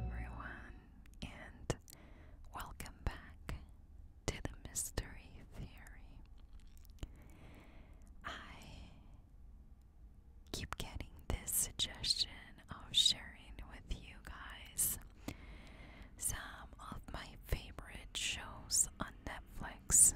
everyone, and welcome back to the Mystery Theory. I keep getting this suggestion of sharing with you guys some of my favorite shows on Netflix.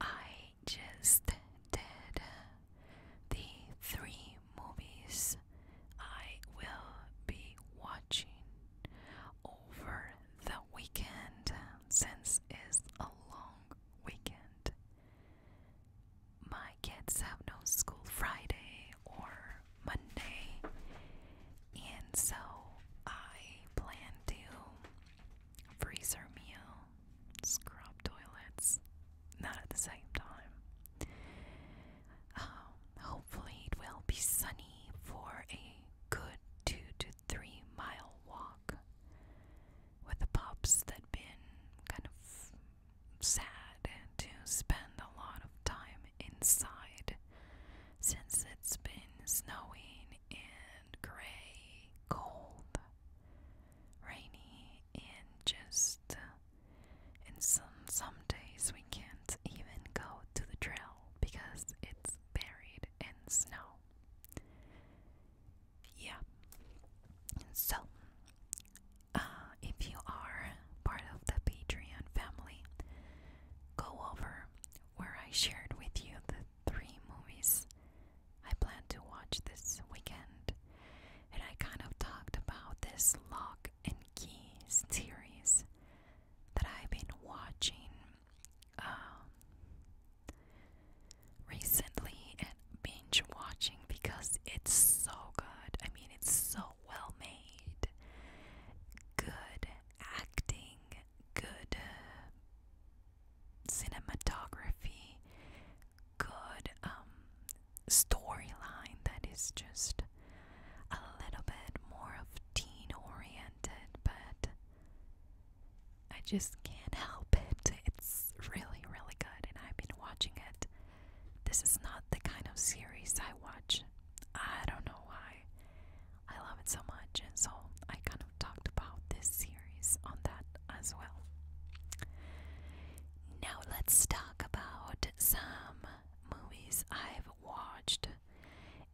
I just did the three movies I will be watching over the weekend since it's a long weekend. My kids have no school Friday or Monday, and so I plan to freezer meal scrub toilets, not at the same time. Um, hopefully, it will be sunny for a good two to three mile walk with the pups that been kind of sad to spend a lot of time inside since it's been snowing and gray, cold, rainy, and just uh, and some some days we can't even go to the trail because it's buried in snow. Yeah. So, uh, if you are part of the Patreon family, go over where I shared with you the three movies I plan to watch this weekend, and I kind of talked about this lock and keys series that I've been watching um, recently and binge watching because it's so good. I mean, it's so well made, good acting, good. Uh, cinematography, good um, storyline that is just a little bit more of teen oriented, but I just can't help it. It's really, really good, and I've been watching it. This is not the kind of series I watch. I don't know why. I love it so much, and so I kind of talked about this series on that as well. Now let's talk about some movies I've watched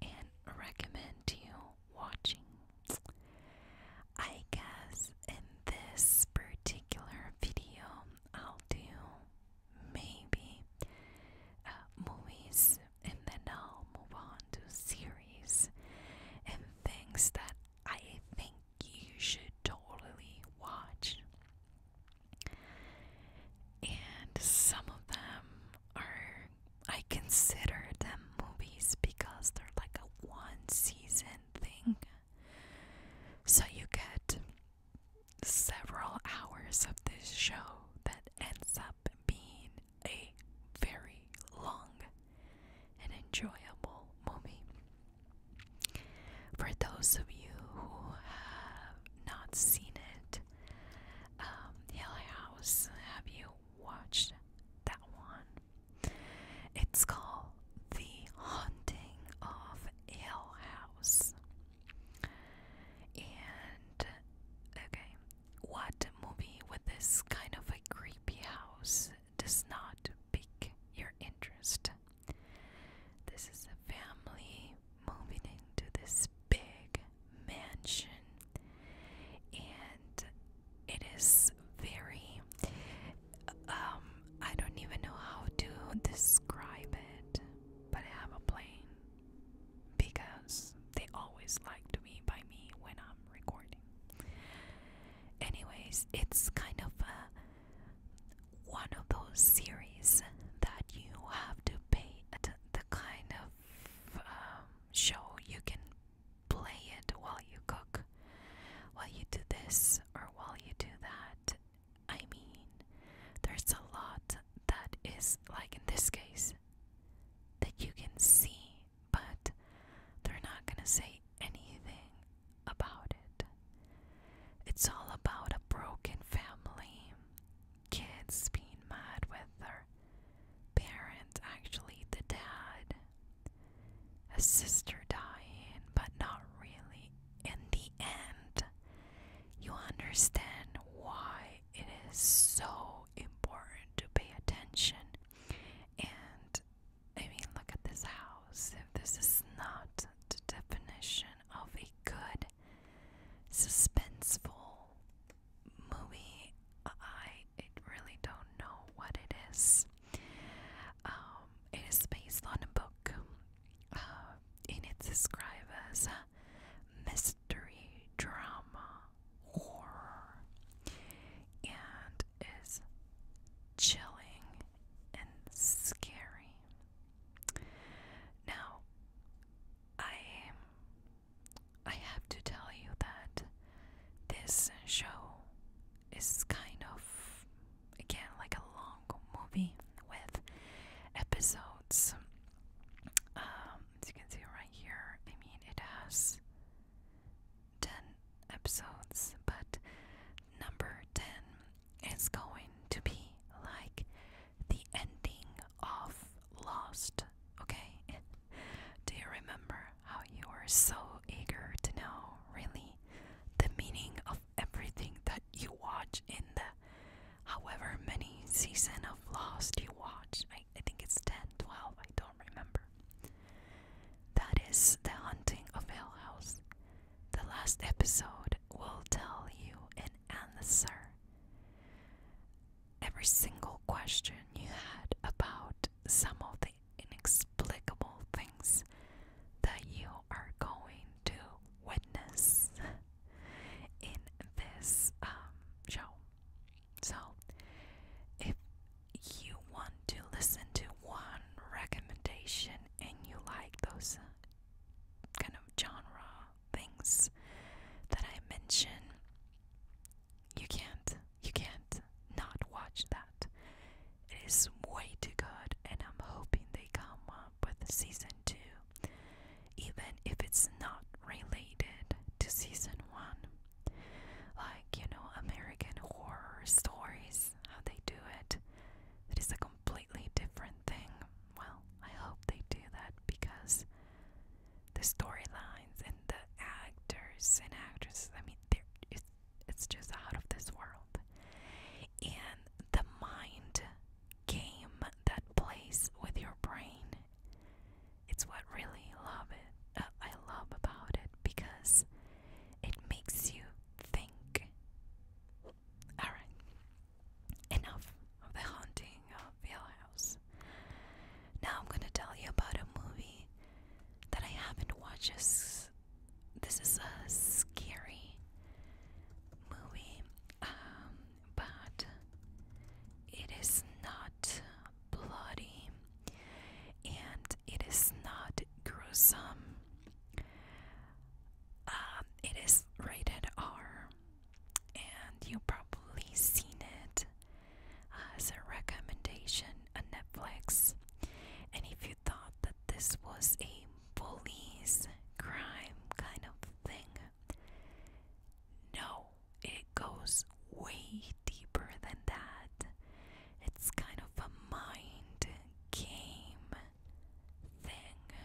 and recommend you watching. I guess in this particular video I'll do maybe uh, movies and then I'll move on to series and things that I think you should totally watch. And some of them are, I consider them movies because they're like a one season thing. So you get several hours of this show that ends up being a very long and enjoyable movie. For those of you who have not seen it, um, Hill House, have you watched that one? It's called The Haunting of Hill House. And, okay, what movie with this kind of a creepy house does not pique your interest. This is a family moving into this big mansion, and it is very, um, I don't even know how to describe it, but I have a plane because they always like to be by me when I'm recording. Anyways, it's kind of a one of those series that you have to pay the kind of um, show you can play it while you cook, while you do this or while you do that. I mean, there's a lot that is like in this case that you can see, but they're not gonna say anything about it. It's all about a broken family, kids being mad with their parents, actually, the dad, a sister dying, but not really. In the end, you understand why it is so important to pay attention and I mean, look at this house. If this is not the definition of a good, suspenseful movie, I really don't know what it is. Um, it is based on a book, uh, and it's described mystery drama horror, and is chilling and scary. Now, I I have to tell you that this show is kind of again like a long movie with episodes. Um, as you can see right here, I mean it has ten episodes, but number ten it's going to be like the ending of Lost, okay? Do you remember how you were so eager to know, really, the meaning of everything that you watch in the however many season of Lost you watch? I, think it's 10, 12, I don't remember. That is the hunting of Hill House. The last episode will tell you an answer. Every single question you had about some of the inexplicable things that you are going to witness in this um, show. So, if you want to listen to one recommendation and you like those kind of genre things that I mention, you can't you can't not watch that. It is way too good, and I'm hoping they come up with season two, even if it's not related to season one. Like you know, American horror stories, how they do it. It is a completely different thing. Well, I hope they do that because the storylines and the actors and actresses, I mean, it's, it's just out of this world. And the mind game that plays with your brain, it's what really love it. Uh, I love about it because it makes you think. Alright. Enough of the haunting of Hill House. Now I'm gonna tell you about a movie that I haven't watched. This is a scary movie, um, but it is not bloody and it is not gruesome. Um, it is rated R, and you've probably seen it as a recommendation on Netflix. And if you thought that this was a police crime kind of thing, no, it goes way deeper than that. It's kind of a mind game thing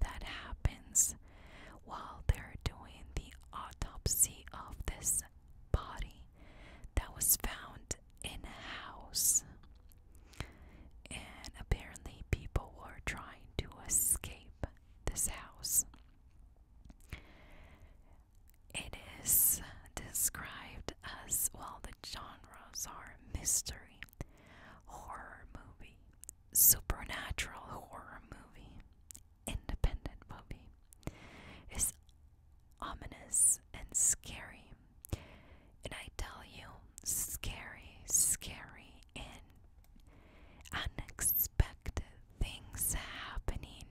that happens while they're doing the autopsy of this body that was found in a house. And apparently, people are trying to escape this house. It is described as well, the genres are mystery horror movie, supernatural horror movie, independent movie is ominous and scary. And I tell you, scary, scary, and unexpected things happening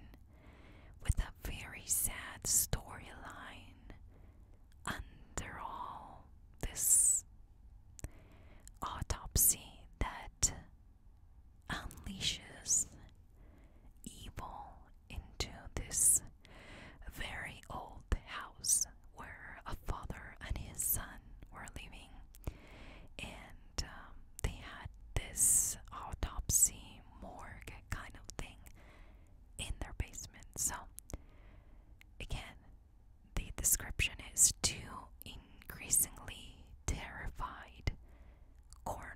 with a very sad storyline under all this autopsy that unleashes evil into this very old house where a father and his son were living. And um, they had this autopsy morgue kind of thing in their basement. So, again, the description is too increasingly terrified corners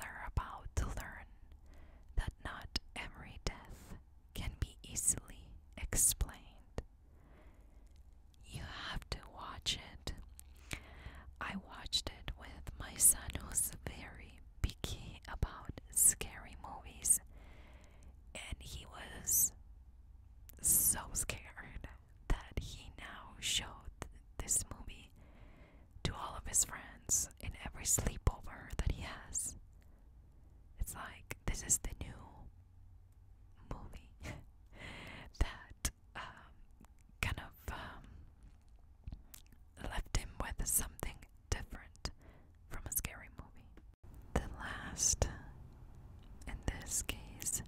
are about to learn that not every death can be easily explained. You have to watch it. I watched it with my son who's very picky about scary movies and he was so scared that he now showed this movie to all of his friends in every sleepover that he has. It's like this is the new movie that um, kind of um, left him with something different from a scary movie. The last, in this case,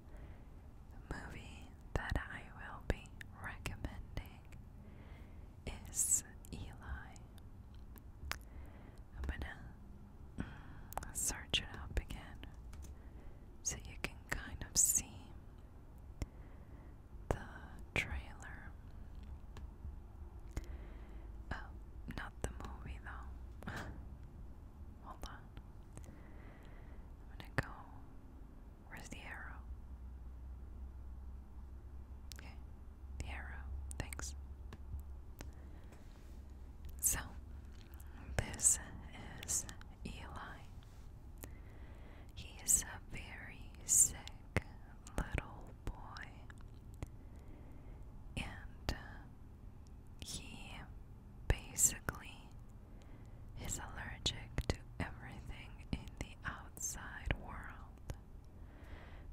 movie that I will be recommending is Eli. I'm gonna mm, search it up again so you can kind of see the trailer. Oh, not the movie though. Hold on. I'm gonna go. Where's the arrow? Okay, the arrow. Thanks. So, this is Eli. He is a very sick little boy, and uh, he basically is allergic to everything in the outside world.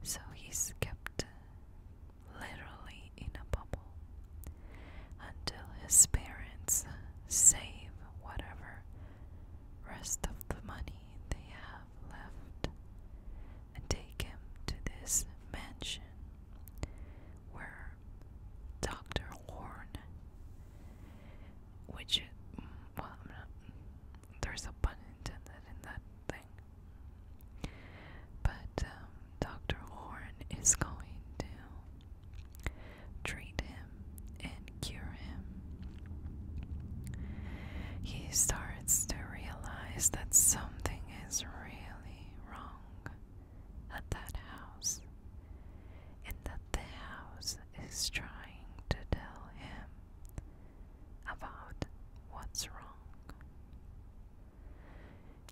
So he's kept literally in a bubble until his parents save whatever rest of the money they have left and take him to this mansion where Dr. Horn, which, mm, well, there's a pun intended in that thing, but um, Dr. Horn is going to treat him and cure him. He starts to realize that something is real wrong at that house, and that the house is trying to tell him about what's wrong.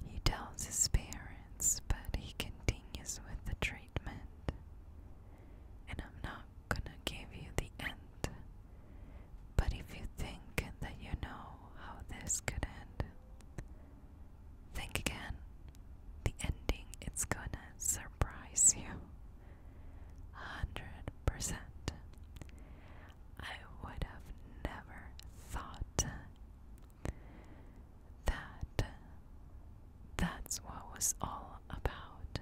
He tells his parents, but he continues with the treatment. And I'm not gonna give you the end but if you think that you know how this could end, think again. The ending it's gonna surprise you. 100%. I would have never thought that that's what was all about.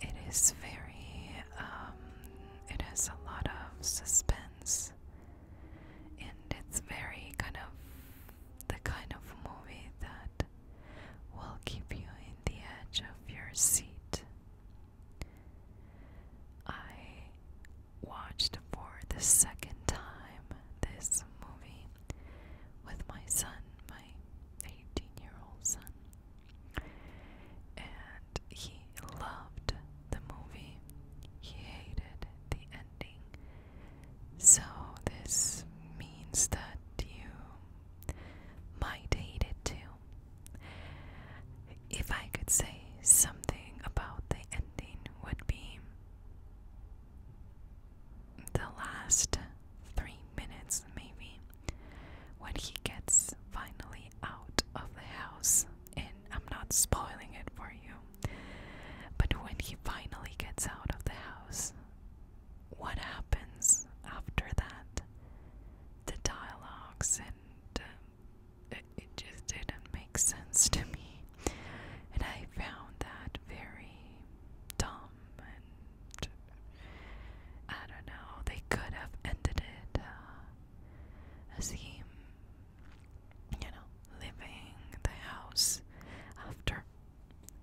It is very um, it has a lot of suspense, and it's very kind of the kind of movie that will keep you in the edge of your seat. I watched for the second time this movie with my son, my 18 year old son. And he loved the movie. He hated the ending. So this means that you might hate it too. If I could say something about the ending would be the last three minutes maybe when he gets finally out of the house and I'm not spoiling it for you. But when he finally gets out of the house, what happens after that? The dialogues and uh, it, just didn't make sense to me, and I found that very dumb. And I don't know, they could have ended it. Uh, as he, you know, leaving the house after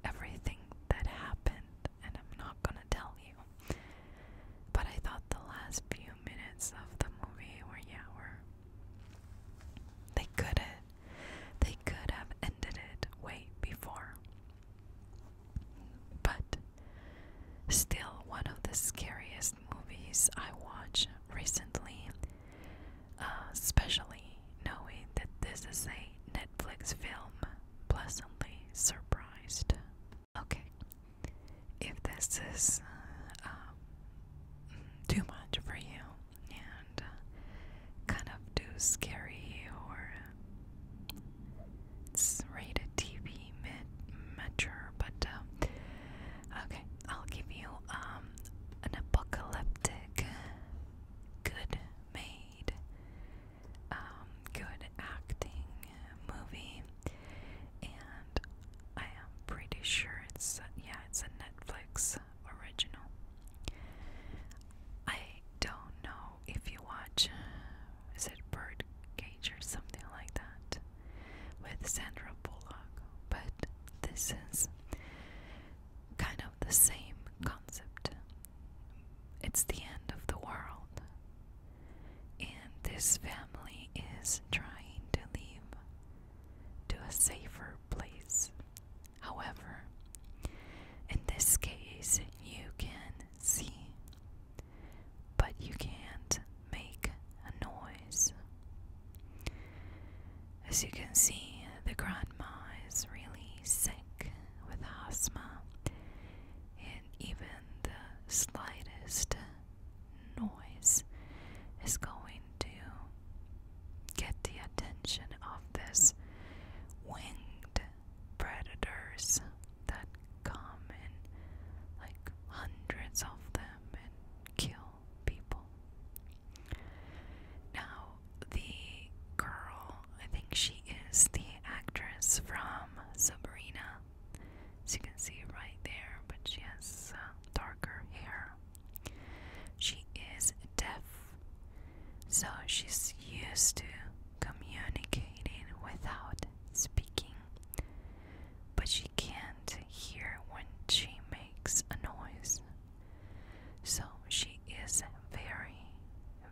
everything that happened, and I'm not gonna tell you. But I thought the last few minutes of the movie were, yeah, were. They could have, they could have ended it way before. But still, one of the scariest movies I watched recently, uh, especially knowing that this is a Netflix film. Pleasantly surprised. Okay, if this is uh, too much for you and uh, kind of too scary or rated TV be mature, but uh, okay, I'll give you um, an apocalyptic, good made, um, good acting movie, and I am pretty sure it's yeah, it's a Netflix original. I don't know if you watch. Is it Birdcage or something like that? with Sandra Bullock, but this is kind of the same concept. It's the end of the world, and this family is trying to leave to a safer place. However, in this case, you can see but you can't make a noise. As you can see, the grandma is really sick with asthma, and even the slightest noise is going to get the attention of this winged predators that come and like hundreds of them and kill people. Now, the girl, I think she is the actress from Sabrina. As you can see right there, but she has uh, darker hair. She is deaf, so she's used to communicating without speaking but she can't hear when she makes a noise. So she is very,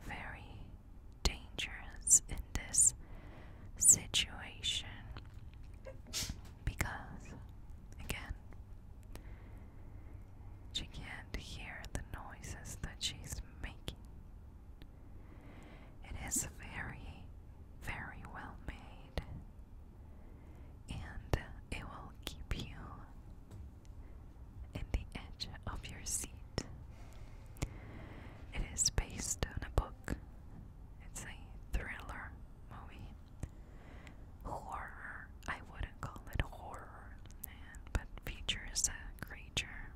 very dangerous in this situation because, again, she can't hear the noises that she's making. It is very, very well made, and it will keep you in the edge of your seat. It is based on a book, it's a thriller movie. Horror, I wouldn't call it horror, but features a creature.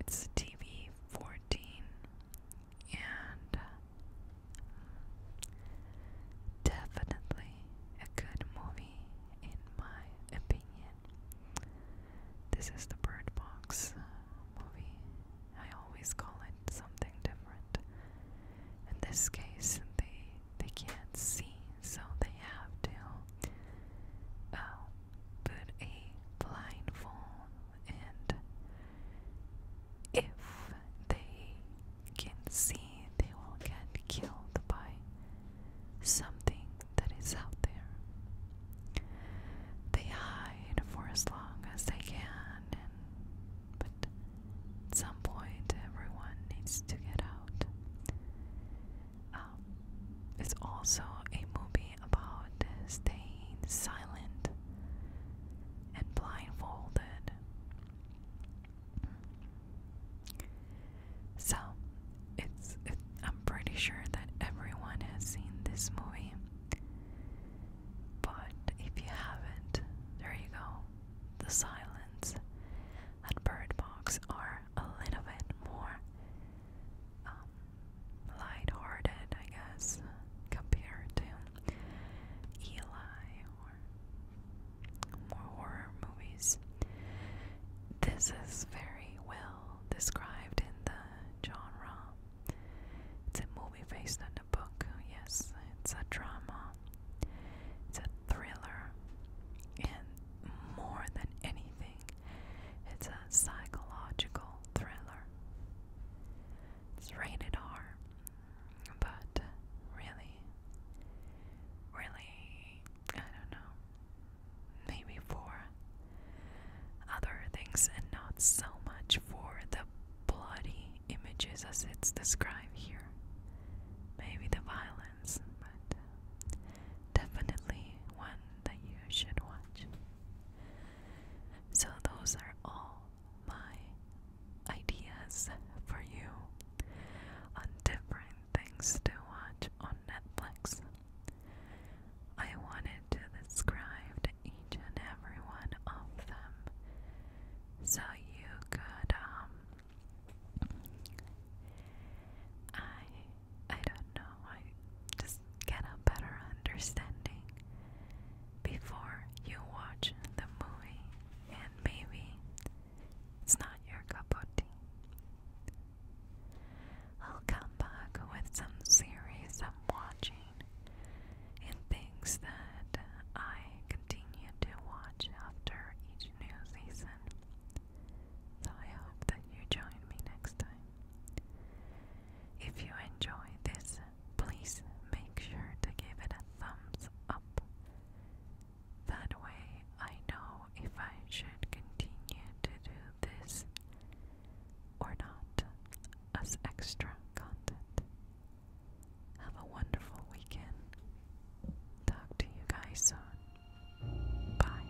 It's TV 14 and definitely a good movie in my opinion. This is the Bird Box uh, movie. I always call it something different. In this case, they they can't see, so they have to uh, put a blindfold and if they can see, they will get killed by something that is out there. They hide for as long as they can, but at some point, everyone needs to get out. Um, it's also a movie about staying silent and blindfolded. So, it's I'm pretty sure that everyone has seen this movie. But if you haven't, there you go. The silence and Bird Box are a little bit more um, light-hearted, I guess, compared to Eli or more horror movies. This is very well described in the genre. It's a movie based on a book, yes, it's a drama, it's a thriller, and more than anything, it's a psychological thriller. It's rated R. But really, really, I don't know. Maybe for other things and not so much for the bloody images as it's described here. Maybe the violence, but definitely one that you should watch. So, those are all my ideas for you on different things to watch on Netflix. I wanted to describe to each and every one of them so you could, um, I, I don't know, I just get a better understanding before you watch the movie, and maybe it's not your cup of tea. I'll come back with some series I'm watching and things that I continue to watch after each new season. So I hope that you join me next time. If you enjoy this please make sure to give it a thumbs up. That way, I know if I should continue to do this or not as extra content. Have a wonderful weekend. Talk to you guys soon. Bye.